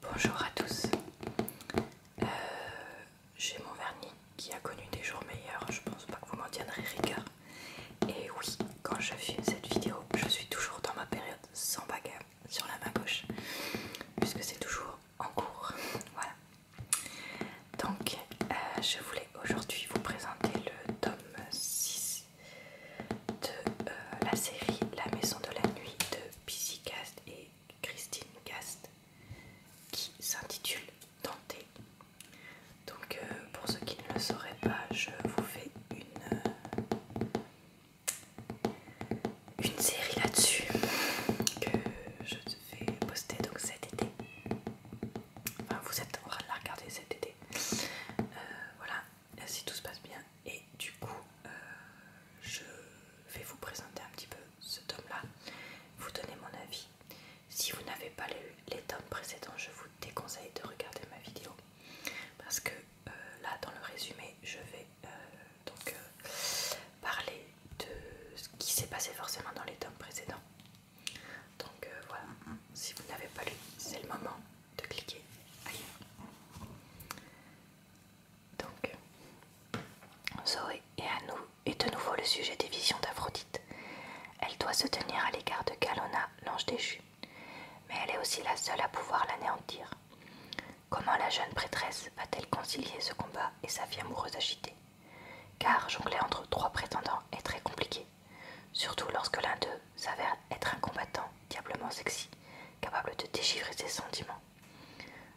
Bonjour à tous. Euh, j'ai mon vernis qui a connu des jours meilleurs, je pense pas que vous m'en tiendrez rigueur. Et oui, quand je filme cette vidéo, je suis toujours dans ma période sans bagarre sur la main gauche, puisque c'est toujours en cours. Voilà. Donc, euh, je voulais aujourd'hui vous présenter le tome 6 de euh, la série La Maison de la Nuit de PisiCast Cast et Christine Cast qui s'intitule Tenter. Donc euh, pour ceux qui ne le sauraient pas, je vous fais une, euh, une série là-dessus que je vais poster donc cet été. Enfin, vous êtes en train de la regarder cet été. Euh, voilà, si tout se passe bien. Et du coup, euh, je vais vous présenter un petit peu ce tome-là, vous donner mon avis. Si vous n'avez pas lu les tomes précédents, je vous déconseille de regarder ma vidéo. Parce que euh, là, dans le résumé, je vais euh, donc parler de ce qui s'est passé forcément dans les tomes précédents. Donc voilà, si vous n'avez pas lu, c'est le moment de cliquer Donc, Zoé et nous est de nouveau le sujet des visions d'Aphrodite. Elle doit se tenir à l'égard de Galona, l'ange déchu, mais elle est aussi la seule à pouvoir l'anéantir. Comment la jeune prêtresse va-t-elle concilier ce combat et sa vie amoureuse agitée Car jongler entre trois prétendants est très compliqué, surtout lorsque l'un d'eux s'avère être un combattant diablement sexy, capable de déchiffrer ses sentiments.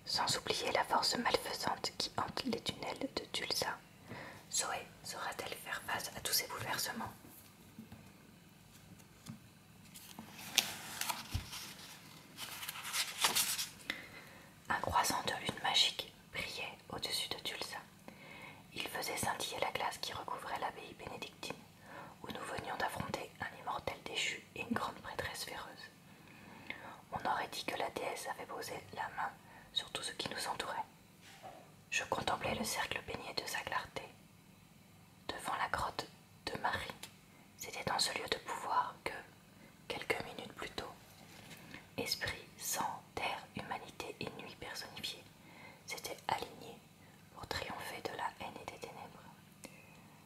Sans oublier la force malfaisante qui hante les tunnels de Tulsa. Zoé saura-t-elle faire face à tous ces bouleversements Un croissant de lune magique brillait au-dessus de Tulsa. Il faisait scintiller la glace qui recouvrait l'abbaye bénédictine où nous venions d'affronter un immortel déchu et une grande prêtresse féroce. On aurait dit que la déesse avait posé la main sur tout ce qui nous entourait. Je contemplais le cercle baigné de sa clarté. Devant la grotte de Marie, c'était dans ce lieu de pouvoir que, quelques minutes plus tôt, esprit, sang, terre, humanité et nuit personnifiées s'étaient alignés pour triompher de la haine et des ténèbres.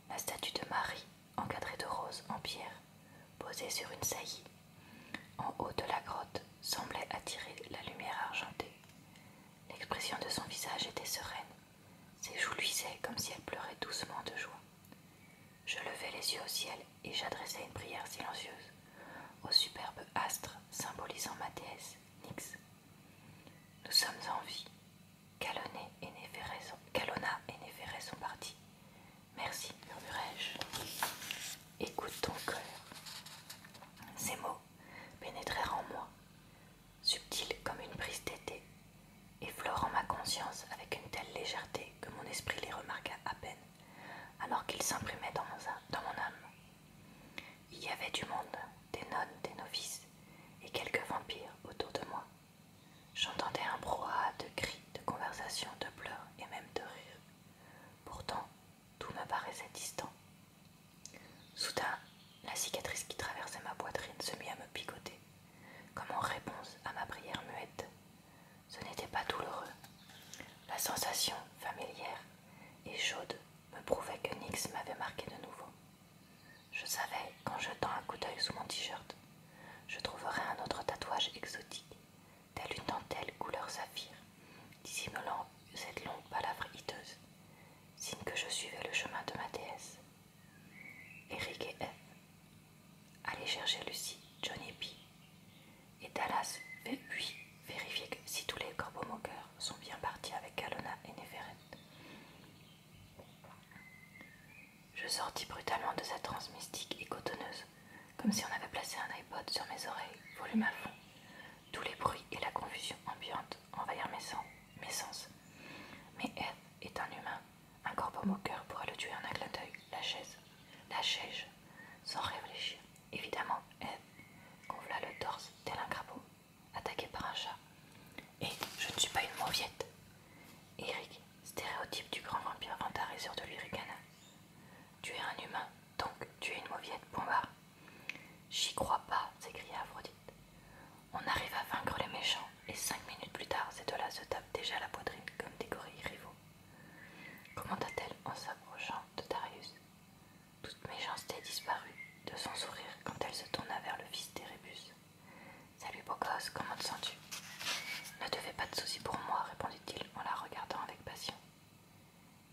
La statue de Marie, encadrée de roses en pierre, posée sur une saillie, en haut de la grotte, semblait attirer la lumière argentée. L'expression de son visage était sereine, ses joues luisaient comme si elle pleurait doucement de joie. Je levai les yeux au ciel et j'adressai une prière silencieuse au superbe astre symbolisant ma déesse nix. Nous sommes en vie. Calonné et Calonna et Néferès sont partis. Merci, murmurai-je. Écoute ton cœur. Ces mots pénétrèrent en moi, subtils comme une brise d'été, effleurant ma conscience avec une telle légèreté que mon esprit les remarqua à peine, alors qu'ils s'imprimaient dans, dans mon âme. Il y avait du monde, des nonnes, des novices et quelques vampires autour de moi. J'entendais un brouhaha de cris, de conversations, de pleurs et même de rires. Pourtant, tout me paraissait distant. Soudain, la cicatrice qui traversait ma poitrine se mit à me picoter, comme en réponse à ma prière muette. Ce n'était pas douloureux. La sensation familière et chaude me prouvait que Nix m'avait marqué de nouveau. Je savais qu'en jetant un coup d'œil sous mon t-shirt, je trouverais un autre tatouage exotique, telle une dentelle couleur saphir, dissimulant cette longue palavre hiteuse, signe que je suivais le chemin de ma déesse. Eric et F. Allez chercher Lucie, Johnny et et Dallas lui vérifier que si tous les corbeaux moqueurs sont bien partis avec Kalona et Néferet. Je sortis brutalement de sa transe mystique et cotonneuse, comme si on avait placé un iPod sur mes oreilles, volume à fond, tous les bruits et la confusion ambiante envahirent mes sens. Mes sens. Mais elle est un humain, un corbeau moqueur pourra le tuer en un clin d'œil, la chaise, sans réfléchir. Évidemment, elle gonfla le torse tel un crapaud, attaqué par un chat. Et je ne suis pas une mauviette. Eric, stéréotype du grand vampire ta sur de l'Uricana. Tu es un humain, donc tu es une mauviette, Pombard. »« J'y crois pas, s'écria Aphrodite. On arrive à vaincre les méchants, et cinq minutes plus tard, ces deux-là se tape déjà la poitrine comme des gorilles rivaux commenta t elle en s'approchant de Darius. Toute méchanceté disparut de son sourire quand elle se tourna vers le fils d'Érébus. Salut beau comment te sens-tu Ne te fais pas de soucis pour moi, répondit-il en la regardant avec passion.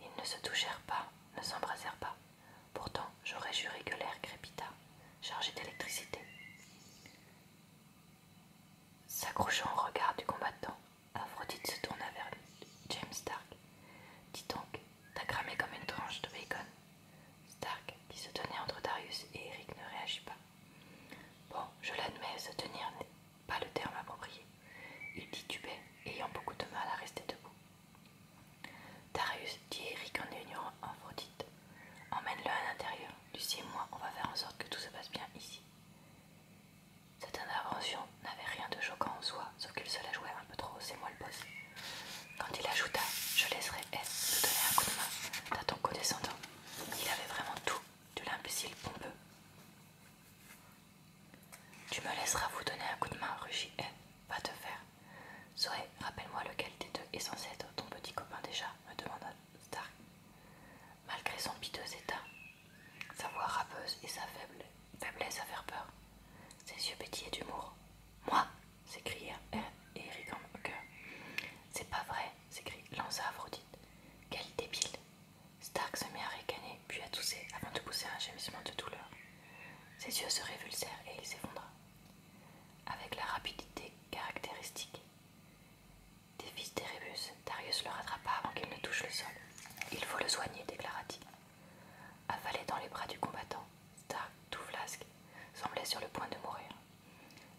Ils ne se touchèrent pas, ne s'embrassèrent pas. Pourtant, j'aurais juré que l'air crépita, chargé d'électricité. S'accrochant au regard du combattant, Aphrodite se tourna vers James Stark. Dis donc, t'as cramé comme une tranche de bacon. Stark, qui se tenait entre Darius et Eric, ne réagit pas. Bon, je l'admets, se tenir n'est pas le terme approprié. Il dit titubait, ayant beaucoup de mal à rester debout. Darius, dit Eric en ignorant Aphrodite, emmène-le à l'intérieur. Lucie et moi, on va faire en sorte que tout se passe bien ici. Cette intervention n'avait rien de choquant en soi, sauf qu'il se la jouait un peu trop, c'est moi le boss. Quand il ajouta Je laisserai F vous donner un coup de main T'as ton condescendant, il avait vraiment tout de l'imbécile pompeux. Tu me laisseras vous donner un coup de main, rugit F, Va te faire. Zoé, rappelle-moi lequel des deux est censé être ton petit copain déjà, me demanda Stark. Malgré son piteux état, sa voix râpeuse et sa faiblesse à faire peur, ses yeux pétillaient d'humour. Moi s'écria Eric en cœur « C'est pas vrai, s'écrit Lanza Aphrodite. Quel débile Stark se mit à ricaner, puis à tousser, avant de pousser un gémissement de douleur. Ses yeux se révulsèrent et il s'effondra. Avec la rapidité caractéristique, des fils d'Erebus, Darius le rattrapa avant qu'il ne touche le sol. Il faut le soigner, déclara-t-il. Avalé dans les bras du combattant, Stark, tout flasque, semblait sur le point de mourir.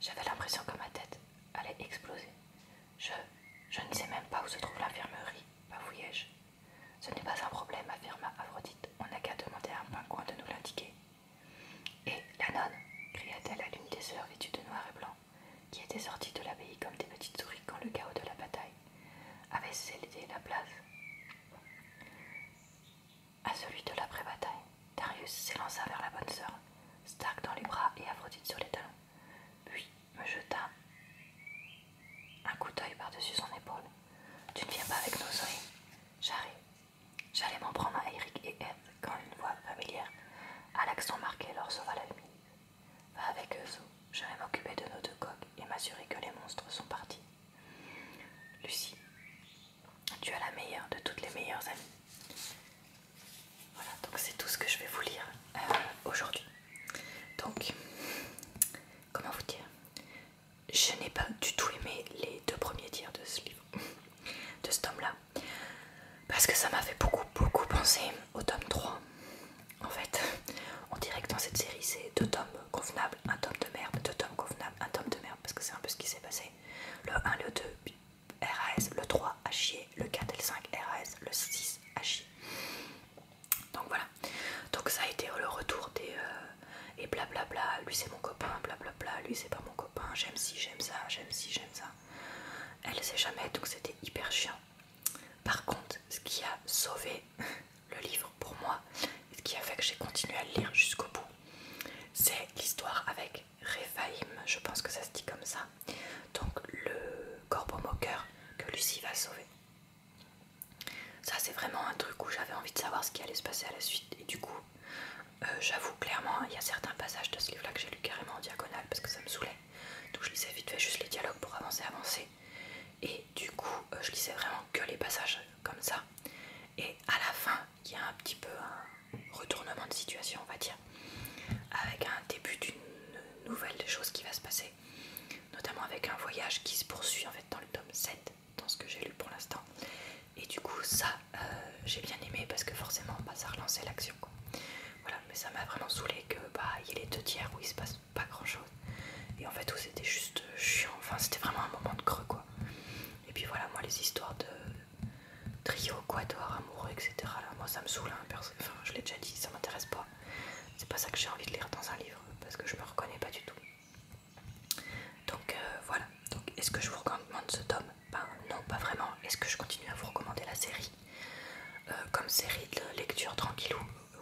J'avais l'impression que ma tête allait exploser. Je. je ne sais même pas où se trouve l'infirmerie, bavouillai je Ce n'est pas un problème, affirma Aphrodite. On n'a qu'à demander à un pingouin de nous l'indiquer. Et la nonne cria-t-elle à l'une des sœurs vêtues de noir et blanc, qui était sortie de l'abbaye comme des petites souris quand le chaos de la bataille avait cédé la place à celui de l'après-bataille. Darius s'élança vers la bonne sœur, Stark dans les bras et Aphrodite sur les talons, puis me jeta un coup d'œil par-dessus son épaule. Tu ne viens pas avec nos Zoé J'arrive. J'allais m'en prendre à Eric et Ed quand une voix familière à l'accent marqué leur à la nuit. Va avec eux, je vais m'occuper de nos deux coques et m'assurer que les monstres sont partis. Lucie, tu as la meilleure de toutes les meilleures amies. Voilà, donc c'est tout ce que je vais vous lire euh, aujourd'hui. Donc, comment vous dire je n'ai pas du tout aimé les deux premiers tiers de ce livre, de ce tome-là, parce que ça m'a fait beaucoup, beaucoup penser au tome 3. En fait, on dirait que dans cette série, c'est deux tomes convenables, un tome de merde, deux tomes convenables, un tome de merde, parce que c'est un peu ce qui s'est passé. Le 1, le 2, RAS, le 3 a chier, le 4 et le 5 RAS, le 6 a chier. Donc voilà, donc ça a été le retour des, euh, et blablabla, bla bla, lui c'est mon copain, blablabla, bla bla, lui c'est pas mon copain, j'aime si, j'aime ça, j'aime si, j'aime ça. Elle sait jamais, donc c'était hyper chiant. Par contre, ce qui a sauvé le livre pour moi, ce qui a fait que j'ai continué à le lire jusqu'au bout, c'est l'histoire avec Réfaïm, je pense que ça se dit comme ça. Donc le corbeau moqueur que Lucie va sauver. Ça c'est vraiment un truc où j'avais envie de savoir ce qui allait se passer à la suite et du coup euh, j'avoue clairement il y a certains passages de ce livre là que j'ai lu carrément en diagonale parce que ça me saoulait. Donc je lisais vite fait juste les dialogues pour avancer, avancer. Et du coup euh, je lisais vraiment que les passages comme ça. Et à la fin il y a un petit peu un retournement de situation on va dire. Avec un début d'une nouvelle chose qui va se passer. Notamment avec un voyage qui se poursuit en fait dans le tome 7 dans ce que j'ai lu pour l'instant. Et du coup, ça, euh, j'ai bien aimé parce que forcément, bah, ça relançait l'action. Voilà, mais ça m'a vraiment saoulé que bah il y ait les deux tiers où il se passe pas grand chose. Et en fait, où c'était juste chiant. Enfin, c'était vraiment un moment de creux quoi. Et puis voilà, moi, les histoires de trio, quatuor, amoureux, etc. moi, ça me saoule. Hein, enfin, je l'ai déjà dit, ça m'intéresse pas. C'est pas ça que j'ai envie de lire dans un livre parce que je me reconnais pas du tout. Donc euh, voilà, donc est-ce que je vous recommande ce tome ben, Non, pas vraiment. Est-ce que je continue à vous recommander la série euh, Comme série de lecture tranquillou,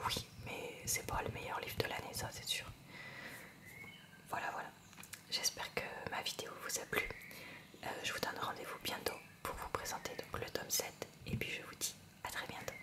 oui, mais c'est pas le meilleur livre de l'année, ça c'est sûr. Voilà, voilà. J'espère que ma vidéo vous a plu. Euh, je vous donne rendez-vous bientôt pour vous présenter le tome 7 et puis je vous dis à très bientôt.